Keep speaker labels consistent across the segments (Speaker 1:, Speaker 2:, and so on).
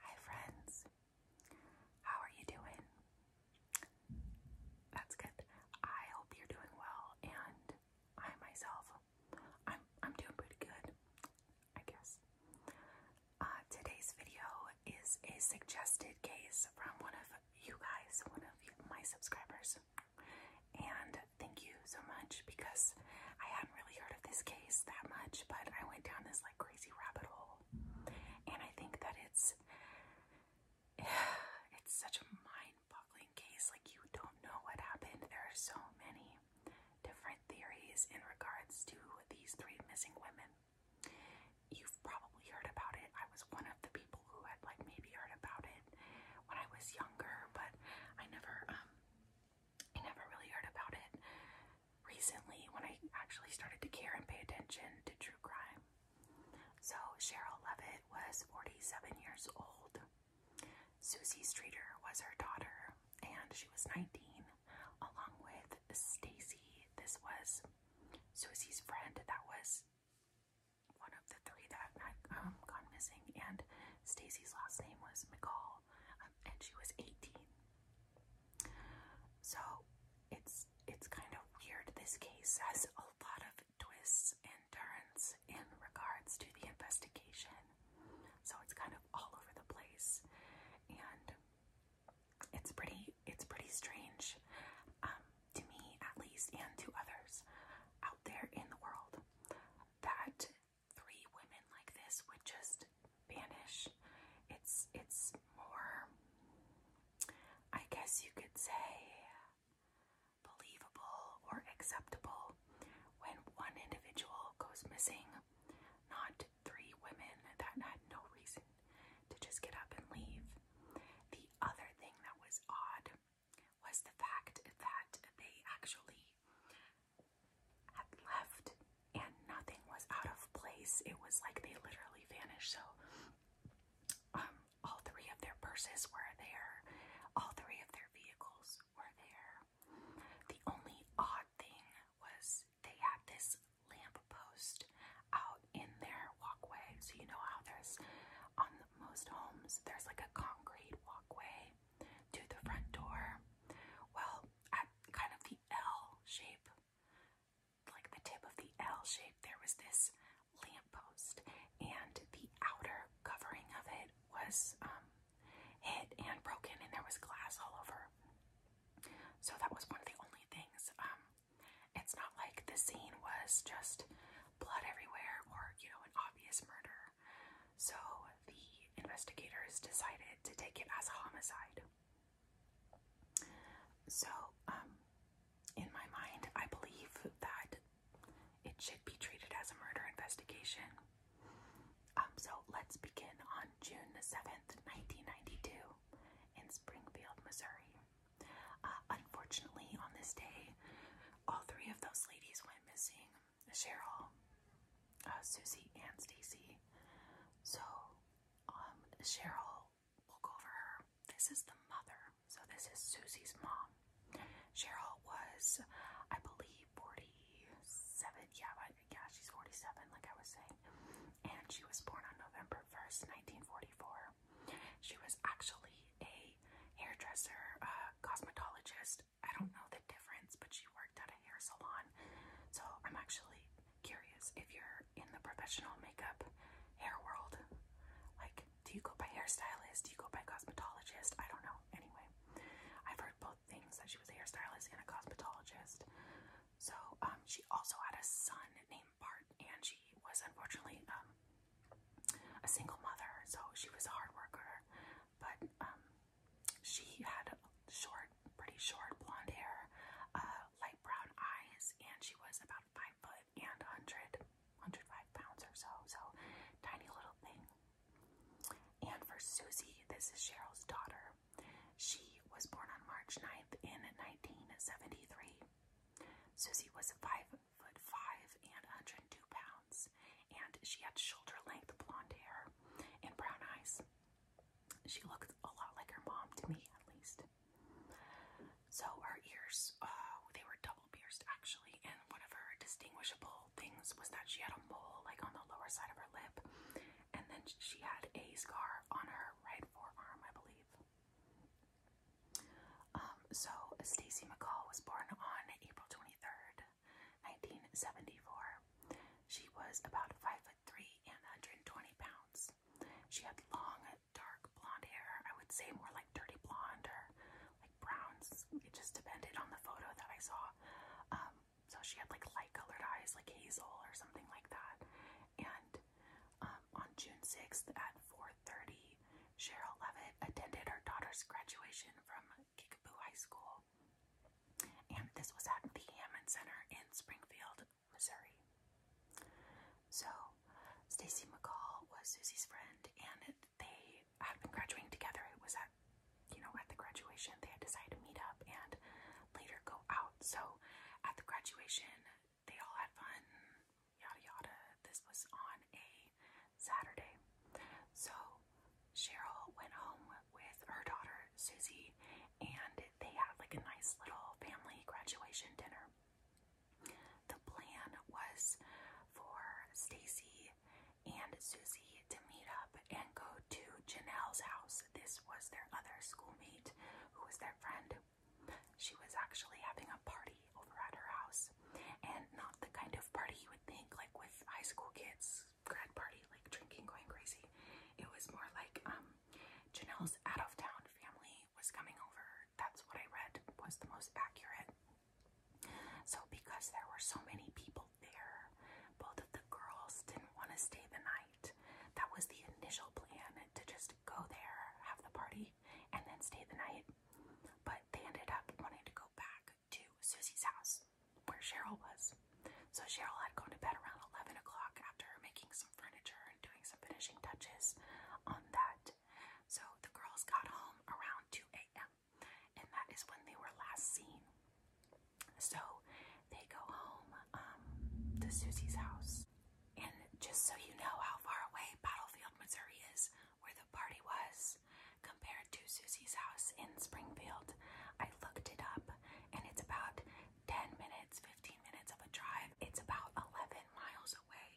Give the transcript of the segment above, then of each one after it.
Speaker 1: Hi, friends. How are you doing? That's good. I hope you're doing well, and I myself, I'm I'm doing pretty good, I guess. Uh, today's video is a suggested case from one of you guys, one of my subscribers, and thank you so much because I hadn't really heard of this case that much, but I went down this like crazy rabbit hole. And I think that it's it's such a mind-boggling case. Like you don't know what happened. There are so many different theories in regards to these three missing women. You've probably heard about it. I was one of the people who had like maybe heard about it when I was younger, but I never um, I never really heard about it recently when I actually started to care and pay attention to true crime. So, Cheryl Levitt was 47 years old. Susie Streeter was her daughter, and she was 19, along with Stacy. This was Susie's friend that was one of the three that had um, gone missing, and Stacy's last name was McCall. Um, and she was 18. So it's it's kind of weird. This case has a lot of twists and turns in regards to the investigation. So it's kind of all over the place, and it's pretty it's pretty strange um, to me, at least, and to others out there in the world that three women like this would just vanish. It's it's more I guess you could say believable or acceptable when one individual goes missing, not three women that had no reason to just get up and leave. The other thing that was odd was the fact that they actually had left and nothing was out of place. It was like they literally vanished. So um, all three of their purses were there. All three of their vehicles were there. The only odd thing was they had this lamp post out in their walkway. So you know how there's on most homes there's like a concrete walkway to the front door. Well, at kind of the L shape, like the tip of the L shape, there was this lamppost, and the outer covering of it was um, hit and broken, and there was glass all over. So that was one of the only things. Um, it's not like the scene was just blood everywhere or, you know, an obvious murder. So the investigators decided to take it as a homicide. So, um, in my mind, I believe that it should be treated as a murder investigation. Um, so let's begin on June 7th, 1992, in Springfield, Missouri. Uh, unfortunately, on this day, all three of those ladies went missing. Cheryl, uh, Susie, and Stacy. So, um, Cheryl, we over This is the mother. So, this is Susie's mom. Cheryl was, I believe, 47. Yeah, yeah, she's 47, like I was saying. And she was born on November 1st, 1944. She was actually a hairdresser, uh, cosmetologist, I don't know the difference, but she worked at a hair salon. So I'm actually curious if you're in the professional makeup hair world. Like, do you go by hairstylist? Do you go by cosmetologist? I don't know. Anyway, I've heard both things that she was a hairstylist and a cosmetologist. So, um, she also had a son named Bart, and she was unfortunately um, a single mother, so she was a hard worker. But um, she had short, pretty short blonde hair, uh, light brown eyes, and she was about five foot and 100, pounds or so. So, tiny little thing. And for Susie, this is Cheryl's daughter. She was born on March 9th in 1973. Susie was five foot five and 102 pounds and she had shoulder length blonde hair and brown eyes. She looked a lot like her mom to me, at least. So her ears, uh, they were double pierced actually, and one of her distinguishable things was that she had a mole like on the lower side of her lip, and then she had a scar on her right forearm, I believe. Um, so Stacy McCall was born on April 23rd, 1974. She was about 5 foot 3 and 120 pounds. She had long, dark blonde hair. I would say more like dirty blonde or like browns. It just depended on the photo that I saw. Um, so she had like light colored eyes, like hazel or something like that. And um, on June 6th at 4:30, Cheryl Levitt attended her daughter's graduation from Kickapoo High School and this was at the Hammond Center in Springfield, Missouri. So, Stacy McCall was Susie's friend, and they had been graduating together. It was at, you know, at the graduation, they had decided to meet up and later go out. So, at the graduation, they all had fun, yada yada. This was on a Saturday. So, Cheryl went home with her daughter Susie, and they had like a nice little family graduation dinner. The plan was for Stacy and Susie to meet up and go to Janelle's house. This was their other schoolmate who was their friend. She was actually having a party over at her house, and not the kind of party you would think, like with high school kids grad party, like drinking, going crazy. It was more like um, Janelle's out of town family was coming over. That's what I read was the most accurate. So, because there were so many people there, both of the girls didn't want to stay the night. That was the initial plan to just go there, have the party, and then stay the night. But they ended up wanting to go back to Susie's house, where Cheryl was. So Cheryl had gone to bed around 11 o'clock after making some furniture and doing some finishing touches on that. So the girls got home around 2 a.m., and that is when they were last seen. So they go home um, to Susie's house. And just so you know how far away Battlefield, Missouri is, where the party was, compared to Susie's house in Springfield. I looked it up and it's about 10 minutes, 15 minutes of a drive. It's about 11 miles away.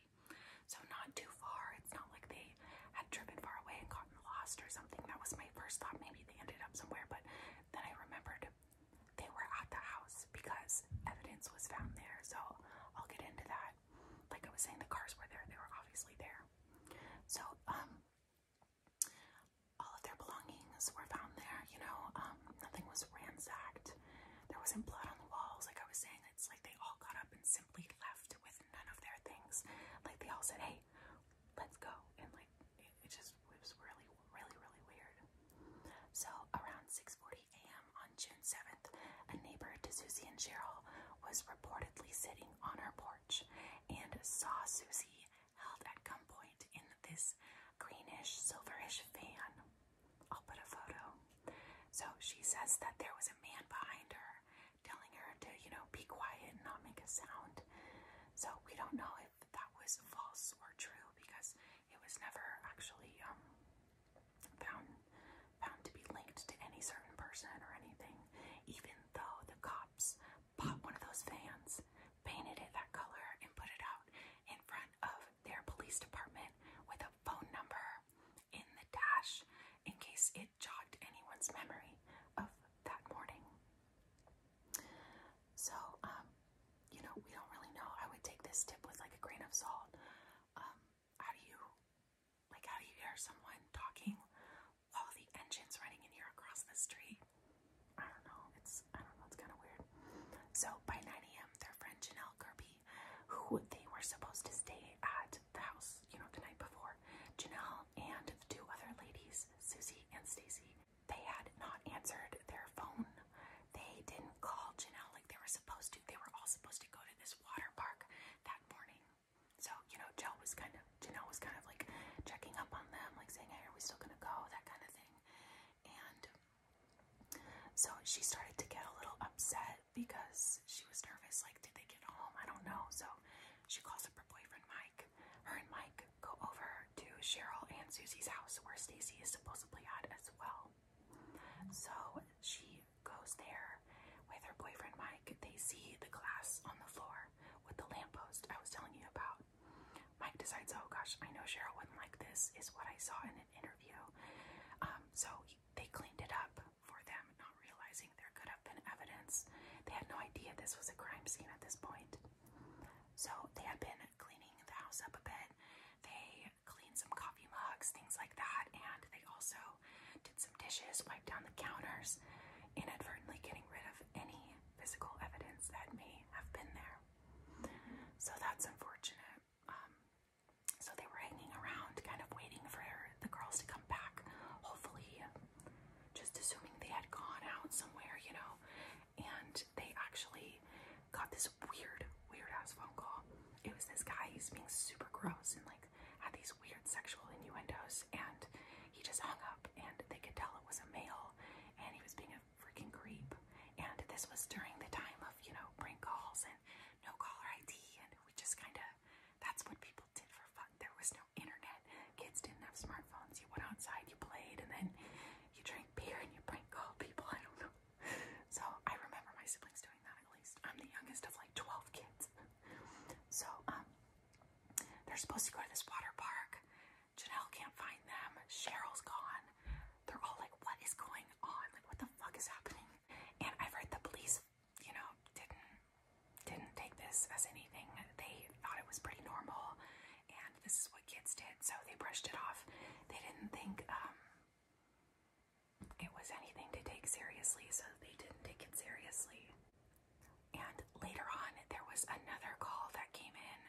Speaker 1: So not too far. It's not like they had driven far away and gotten lost or something. That was my first thought. Maybe they ended up somewhere, but then I remembered they were at the house because evidence was found there. So I'll get into that. Like I was saying, the cars were there. They were obviously there. So, um, all of their belongings were found there, you know, um, nothing was ransacked. There wasn't blood on the walls. Like I was saying, it's like they all got up and simply left with none of their things. Like they all said, hey, let's go. And like, it, it just it was really, really, really weird. So around 6.40 a.m. on June 7th, a neighbor to Susie and Cheryl was reportedly sitting on her porch and saw Susie held at gunpoint in this greenish, silverish van. I'll put a photo. So she says that there was a man behind her telling her to, you know, be quiet and not make a sound. So we don't know if that was false or true because it was never actually um, found found to be linked to any certain person or anything, even though the cop bought one of those vans, painted it that color, and put it out in front of their police department with a phone number in the dash in case it jogged anyone's memory of that morning. So, um, you know, we don't really know. I would take this tip with like a grain of salt. Um, how do you, like, how do you hear someone talking all the engines running in here across the street. I don't know. It's I don't know. It's kind of weird. So by 9 a.m., their friend Janelle Kirby, who they were supposed to stay at the house, you know, the night before, Janelle and the two other ladies, Susie and Stacy, they had not answered their phone. They didn't call Janelle like they were supposed to. They were all supposed to go to this water park that morning. So, you know, Jill was kind of, Janelle was kind of like checking up on them, like saying, hey, are we still going to go? That kind of thing. And so she started to get a little upset because she was nervous. Like, did they get home? I don't know. So she calls up her boyfriend, Mike. Her and Mike go over to Cheryl and Susie's house where Stacy is supposedly at as well. So she goes there with her boyfriend, Mike. They see the glass on the floor with the lamppost I was telling you about. Mike decides, oh gosh, I know Cheryl wouldn't like this, is what I saw in an interview. Um, so they cleaned it up for them, not realizing there could have been evidence. They had no idea this was a crime scene at this point. So they had been cleaning the house up a bit. They cleaned some coffee mugs, things like that, and they also did some dishes, wiped down the counters, inadvertently getting rid of any physical evidence that may have been there. So that's unfortunate. Um, so they were hanging around, kind of waiting for the girls to come back, hopefully, just assuming they had gone out somewhere, you know. And they actually got this weird, weird ass phone call. It was this guy, he's being super gross and like had these weird sexual innuendos. And he just hung up and they could tell it was a male and he was being a freaking creep. And this was during the time of, you know, prank calls and no caller ID and we just kind of, that's what people did for fun. There was no internet. Kids didn't have smartphones. You went outside, you played, and then you drank beer and you prank called people. I don't know. So I remember my siblings doing that at least. I'm the youngest of like 12 kids. So, um, they're supposed to go to this water park. Janelle can't find them. Cheryl's gone. They're all like, what is going on? Like, what the fuck is happening? And I've heard the police, you know, didn't didn't take this as anything. They thought it was pretty normal, and this is what kids did, so they brushed it off. They didn't think um, it was anything to take seriously, so they didn't take it seriously. And later on, there was another call that came in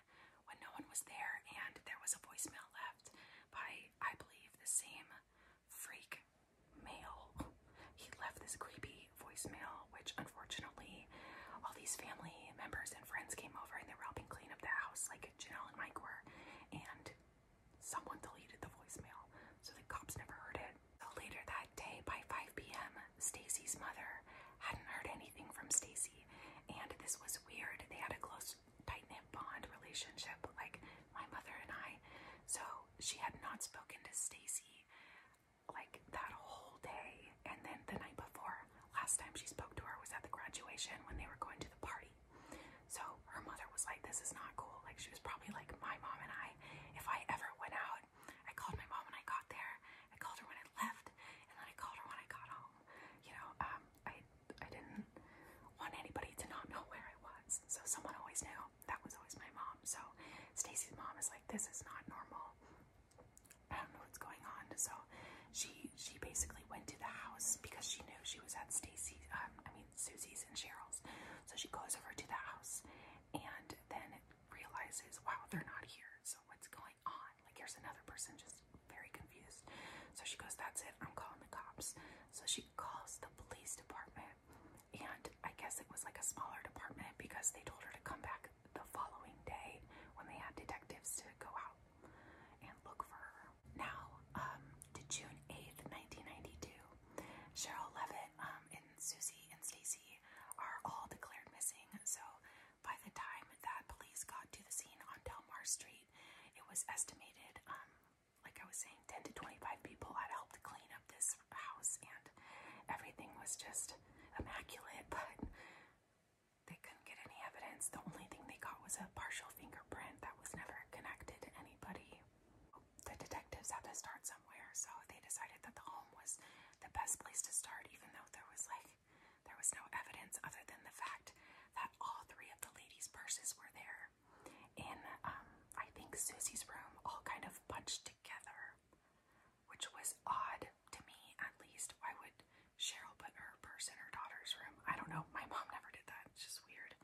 Speaker 1: when no one was there, and there was a voicemail left by, I believe, the same freak male. He left this creepy voicemail, which unfortunately, all these family members and friends came over and they were helping clean up the house, like Janelle and Mike were, and someone deleted the voicemail, so the cops never heard it. So later that day, by 5 p.m., Stacy's mother hadn't heard anything from Stacy, and this was weird. They had a close, tight-knit bond relationship, like my mother and I. So she had not spoken to Stacy like that whole day, and then the night before, last time she spoke to her was at the graduation when they were going to the party. So her mother was like, "This is not cool." Like she was probably like my mom and I. If I ever went out out. I called my mom when I got there. I called her when I left, and then I called her when I got home. You know, um, I I didn't want anybody to not know where I was, so someone always knew. That was always my mom. So Stacy's mom is like, this is not normal. I don't know what's going on. So she she basically went to the house because she knew she was at Stacy's. Um, I mean Susie's and Cheryl's. So she goes over to the house, and then realizes, wow, they're not here. So what's going on? Like here's another person just very confused. So she goes, that's it. I'm calling the cops. So she calls the police department. And I guess it was like a smaller department because they told her to come back the following day when they had detectives to go out and look for her. Now, um, to June 8th, 1992, Cheryl Levitt um, and Susie and Stacy are all declared missing everything. So by the time that police got to the scene on Delmar Street, it was estimated, um, like I was saying, 10 to 25 people had helped clean up this house, and everything was just immaculate, but they couldn't get any evidence. The only thing they got was a partial fingerprint that was never connected to anybody. The detectives had to start somewhere, so they decided that the home was the best place to start, even though there was like there was no evidence other than the fact that all three of the ladies' purses were there in um, I think Susie's room, all kind of bunched together, which was odd to me at least. Why would Cheryl put her purse in her daughter's room? I don't know. My mom never did that. It's just weird.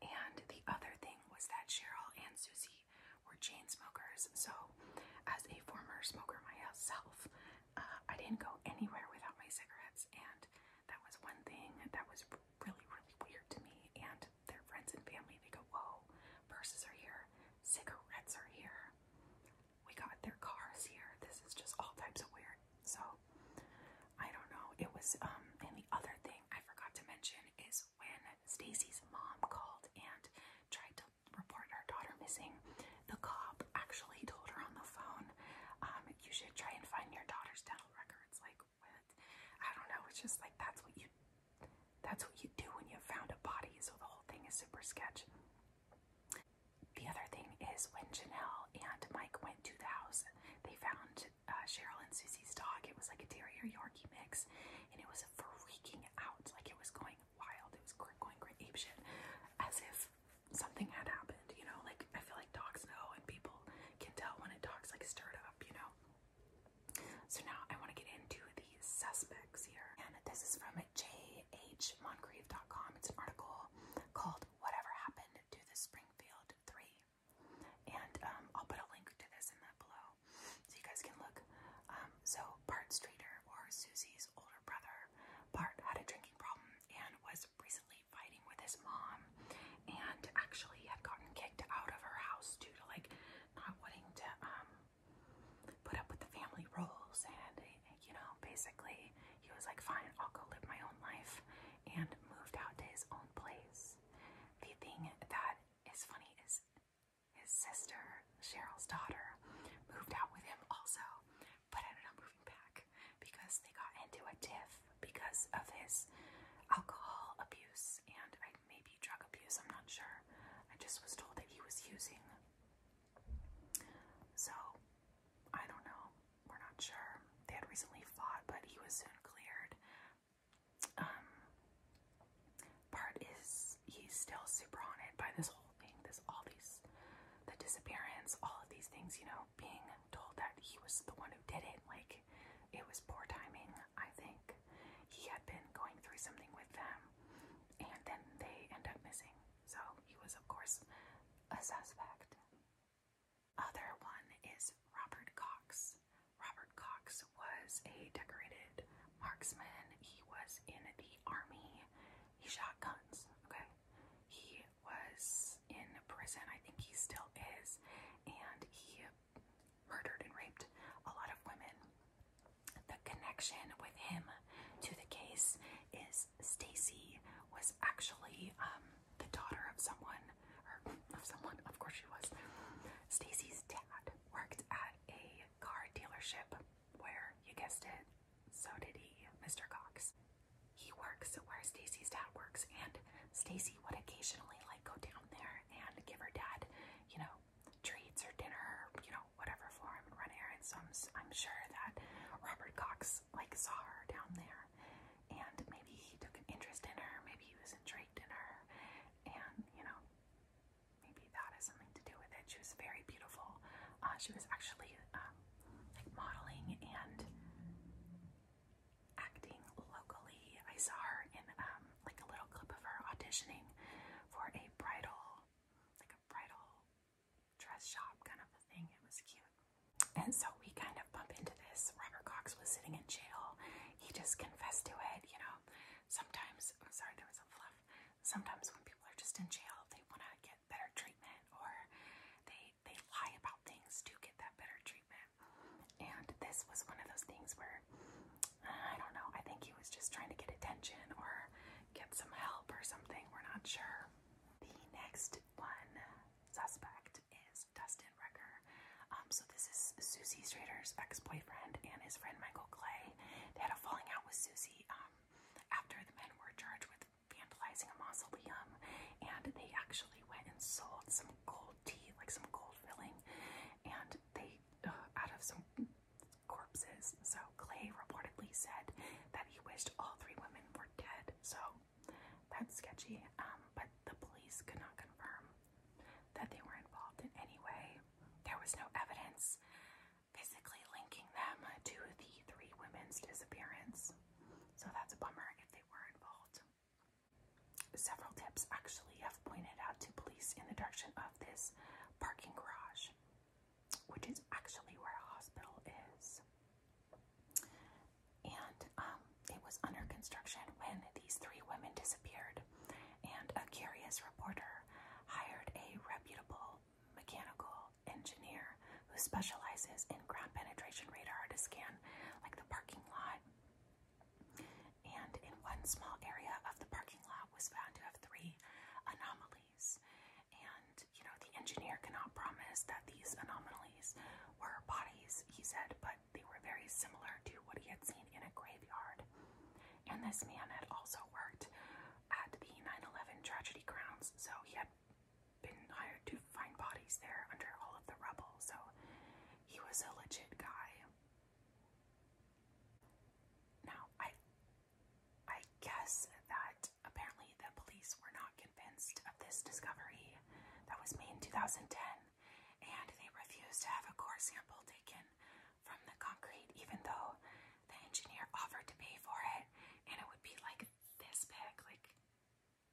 Speaker 1: And the other thing was that Cheryl and Susie were chain smokers. So, as a former smoker myself, uh, I didn't go anywhere without my cigarettes, and that was one thing that was really, really weird to me. And their friends and family, they go, "Whoa, purses are here, cigarettes are here. We got their cars here. This is just all types of weird." So, I don't know. It was, um, and the other thing I forgot to mention is when Stacy's mom called and tried to report her daughter missing. The cop actually told her on the phone, um, you should try and find your daughter's dental records. Like, what? I don't know. It's just like that's what you that's what you do when you've found a body, so the whole thing is super sketch. The other thing is when Janelle and Mike went to the house, they found uh, Cheryl and Susie's dog. It was like a terrier Yorkie mix, and it was freaking out. Like it was going wild. It was going great ape shit, as if something had happened. You know, like I feel like dogs know, and people can tell when a dog's like stirred up. You know. So now I want to get into the suspects here, and this is from jhmoncrief.com. It's an article called "Whatever Happened to the Springfield Three," and um, I'll put a link to this in that below so you guys can look. Um, so Bart Streeter, or Susie's older brother, Bart had a drinking problem and was recently fighting with his mom, and actually he had gotten kicked out of her house due to like not wanting to um, put up with the family rules, and you know, basically he was like, "Fine, I'll go live my own life," and moved out to his own place. The thing that is funny is his sister, Cheryl's daughter, moved out with him also, but ended up moving back because they got into a tiff because of his alcohol abuse and maybe drug abuse, I'm not sure. I just was told that he was using. So, I don't know. We're not sure. They had recently fought, but he was soon cleared. Um, part is he's still super haunted by this whole thing, this all these the disappearance, all of these things, you know, being told that he was the one who did it, like it was poor timing, I think. He had been going through something with them and then they end up missing. So he was of course a suspect. Other one is Robert Cox. Robert Cox was a decorated marksman. He was in the army. He shot guns. Okay. He was in prison. I think he still is. And he murdered and raped a lot of women. The connection with him to the case is Stacy was actually um, the daughter of someone, or of someone, of course she was. Stacy's dad worked at a car dealership where, you guessed it, so did he, Mr. Cox. He works where Stacy's dad works, and Stacy would occasionally like go down there and give her dad, you know, treats or dinner, or, you know, whatever for him and run errands. So I'm, I'm sure that Robert Cox like saw her down there, and maybe he took an interest in her, maybe he was intrigued in her, and you know, maybe that has something to do with it. She was very beautiful. Uh, she was actually um, like modeling and acting locally. I saw her in um, like a little clip of her auditioning for a bridal, like a bridal dress shop kind of a thing. It was cute. And so we kind of bump into this. Robert Cox was sitting in jail. He just confessed to it, you know. Sometimes, sorry, there was a fluff. Sometimes when people are just in jail, they want to get better treatment, or they they lie about things to get that better treatment. And this was one of those things where uh, I don't know. I think he was just trying to get attention or get some help or something. We're not sure. The next one suspect is Dustin Recker. Um, so this is Susie Strader's ex-boyfriend and his friend Michael Clay. They had a falling out with Susie the um after the men were charged with vandalizing a mausoleum and they actually went and sold some gold tea, like some gold filling, and they uh, out of some corpses. So Clay reportedly said that he wished all three women were dead. So that's sketchy. Um, but the police could not confirm that they were involved in any way. There was no evidence physically linking them to the three women's disappearance. So that's a bummer if they were involved. Several tips actually have pointed out to police in the direction of this parking garage, which is actually where a hospital is. And um, it was under construction when these three women disappeared, and a curious reporter hired a reputable mechanical engineer who specializes in ground penetration radar to scan like the parking lot. And in one small area of the parking lot was found to have three anomalies. And you know, the engineer cannot promise that these anomalies were bodies, he said, but they were very similar to what he had seen in a graveyard. And this man had also worked at the 9 tragedy grounds. So he had been hired to find bodies there under all of the rubble. So he was a legit guy. Now I I guess that apparently the police were not convinced of this discovery that was made in 2010 and they refused to have a core sample taken from the concrete even though the engineer offered to pay for it, and it would be like this big. Like,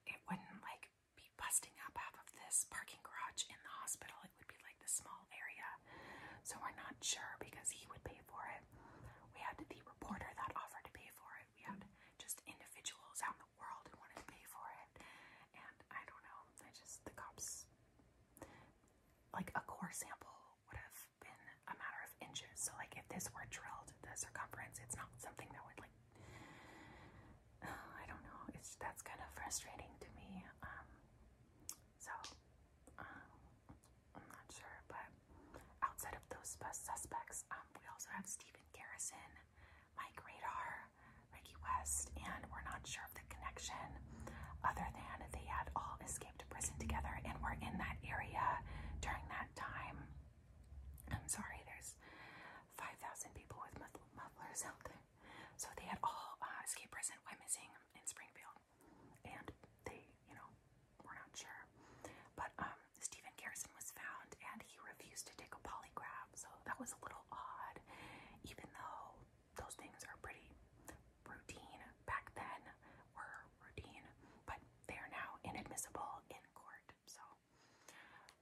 Speaker 1: it wouldn't like be busting up half of this parking garage in the hospital. It would be like the small area. So we're not sure because he would pay for it. We had the reporter that offered to pay for it. We had just individuals out in the world who wanted to pay for it. And I don't know. I just the cops like a core sample would have been a matter of inches. So like if this were drilled, the circumference, it's not something that would like, I don't know. It's that's kind of frustrating to me. Um, so um, I'm not sure, but outside of those suspects, um, we also have Stephen Garrison, Mike Radar, Ricky West, and we're not sure of the connection other than they had all escaped to prison together and we're in that area during that time. I'm sorry, there's 5,000 people with mufflers out there. So they had all uh, escaped prison, Why missing in Springfield. And they, you know, were not sure. But um, Stephen Garrison was found and he refused to take a polygraph. So that was a little odd, even though those things are pretty routine back then, were routine, but they are now inadmissible in court. So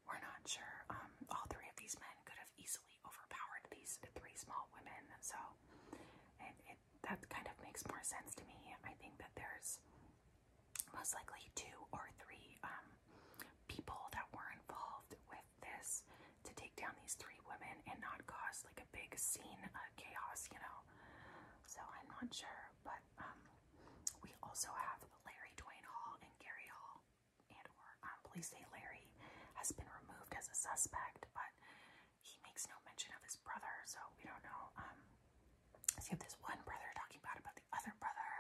Speaker 1: we're not sure. Um, all three of these men could have easily overpowered these three small women. So it, it, that kind of makes more sense to me. I think that there's most likely two or three um, people that were involved with this to take down these three women and not cause like like a big scene, uh, chaos, you know. So I'm not sure, but um, we also have Larry Dwayne Hall and Gary Hall, and or um, police say Larry has been removed as a suspect, but he makes no mention of his brother, so we don't know. Um, so you have this one brother talking bad about the other brother,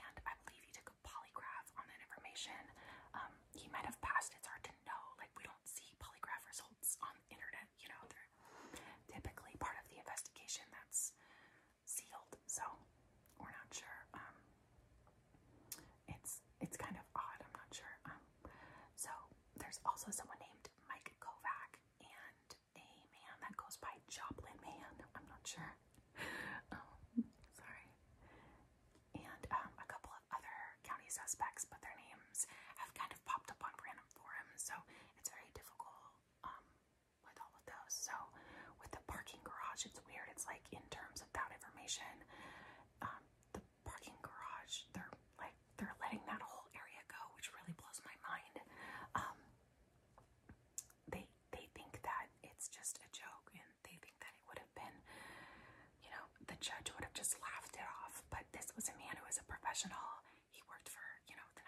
Speaker 1: and I believe he took a polygraph on that information. Um, he might have passed. It's hard to know. Like we don't see polygraph results on internet, you know, they're typically part of the investigation that's sealed, so we're not sure. Um, it's it's kind of odd, I'm not sure. Um, so there's also someone named Mike Kovac and a man that goes by Joplin Man, I'm not sure. Um, sorry. And um, a couple of other county suspects, but their names have kind of popped up on random forums, so it's very difficult um, with all of those. So with the parking garage, it's weird. It's like in terms of that information, um, the parking garage, they're like they're letting that whole area go, which really blows my mind. Um, they they think that it's just a joke, and they think that it would have been you know, the judge would have just laughed it off. But this was a man who was a professional. He worked for, you know, the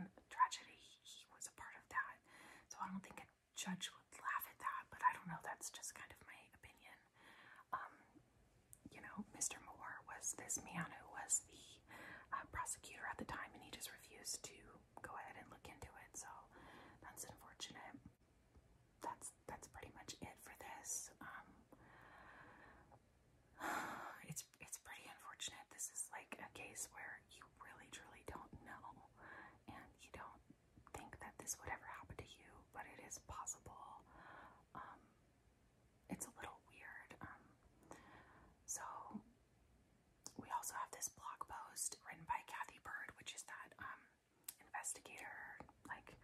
Speaker 1: 9 11 tragedy. He was a part of that. So I don't think a judge would laugh at that, but I don't know. That's just kind of my opinion. Um, you know, Mr. Moore was this man who was the uh, prosecutor at the time, and he just refused to go ahead and look into it. So that's unfortunate that's that's pretty much it for this. Um, it's it's pretty unfortunate. This is like a case where you really truly don't know, and you don't think that this would ever happen to you, but it is possible. Um, it's a little weird. Um, so we also have this blog post written by Kathy Bird, which is that um, investigator, like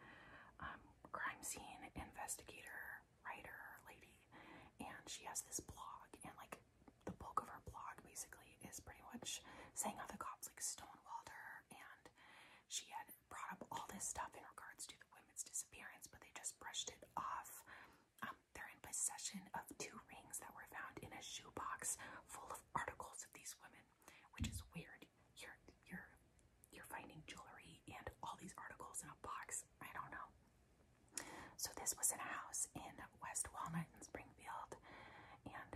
Speaker 1: um, crime scene investigator, writer, lady, and she has this blog, and like the bulk of her blog basically is pretty much saying how the cops like stonewalled her, and she had brought up all this stuff in regards to the women's disappearance, but they just brushed it off. Um, they're in possession of two rings that were found in a shoe box full of articles of these women, which is weird you're you're you're finding jewelry and all these articles in a box. I don't know. So this was in a house in West Walnut in Springfield, and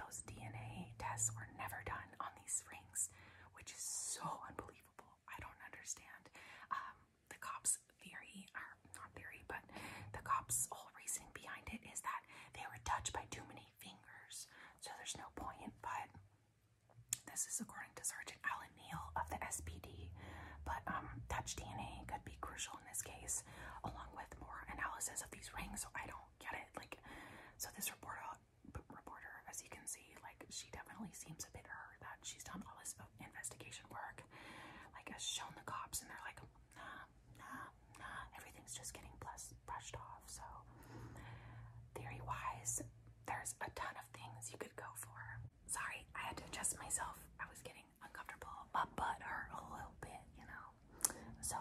Speaker 1: those DNA tests were never done on these rings, which is so unbelievable. I don't understand. Um, the cops' theory, are not theory, but the cops' whole reasoning behind it is that they were touched by too many fingers, so there's no point. But this is according to Sergeant Alan Neal of the SPD, but um, touch DNA could be crucial in this case, along with more analysis of these rings. So I don't get it. Like, so this reporter, reporter, as you can see, like she definitely seems a bit hurt that she's done all this investigation work, like has shown the cops, and they're like, nah, nah, nah. Everything's just getting brushed off. So theory-wise, there's a ton of things you could go for. Sorry, I had to adjust myself. I was getting uncomfortable. My butt hurt a little bit, you know. So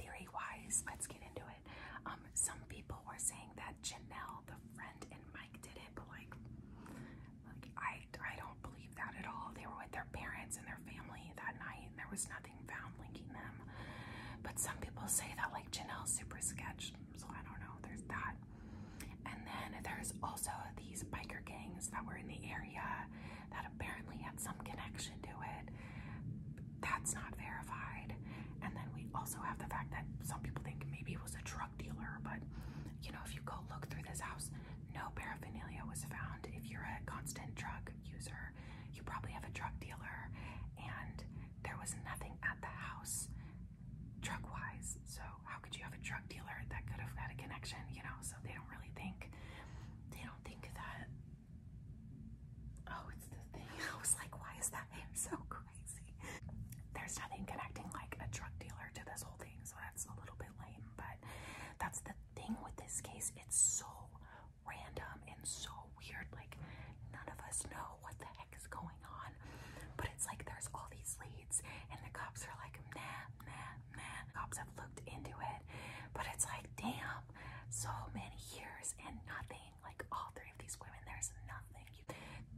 Speaker 1: theory wise, let's get into it. Um, some people were saying that Janelle, the friend, and Mike did it, but like, like I I don't believe that at all. They were with their parents and their family that night, and there was nothing found linking them. But some people say that like Janelle's super sketch so I don't know, there's that. And then there's also these biker gangs that were in the area that apparently had some connection to it. That's not verified. And then we also have the fact that some people think maybe it was a drug dealer, but you know, if you go look through this house, no paraphernalia was found. If you're a constant drug user, you probably have a drug dealer, and there was nothing at the house drug wise. So, how could you have a drug dealer that could have had a connection, you know? So, they don't really think, they don't think that, oh, it's the thing. I was like, why is that name so crazy? There's nothing connecting like a drug dealer to this whole thing. So, that's a little bit lame, but that's the thing with this case. It's so random and so weird. Like none of us know what the heck is going on. But it's like there's all these leads and the cops are like, nah, nah, nah. Cops have looked into it. But it's like, damn, so many years and nothing. Like all three of these women, there's nothing. You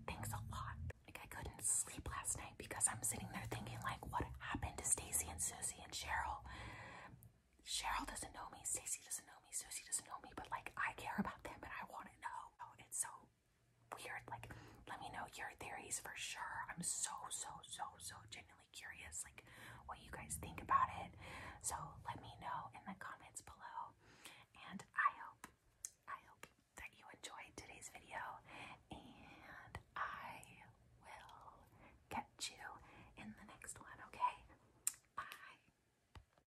Speaker 1: thinks a lot. Like I couldn't sleep last night because I'm sitting there thinking like what happened to Stacy and Susie and Cheryl. Cheryl doesn't know me, Stacy doesn't know me, Susie doesn't know me, but like I care about them and I want to know. Oh, it's so weird. Like, let me know your theories for sure. I'm so, so, so, so genuinely curious, like, what you guys think about it. So, let me know in the comments below. And I hope, I hope that you enjoyed today's video. And I will catch you in the next one, okay? Bye.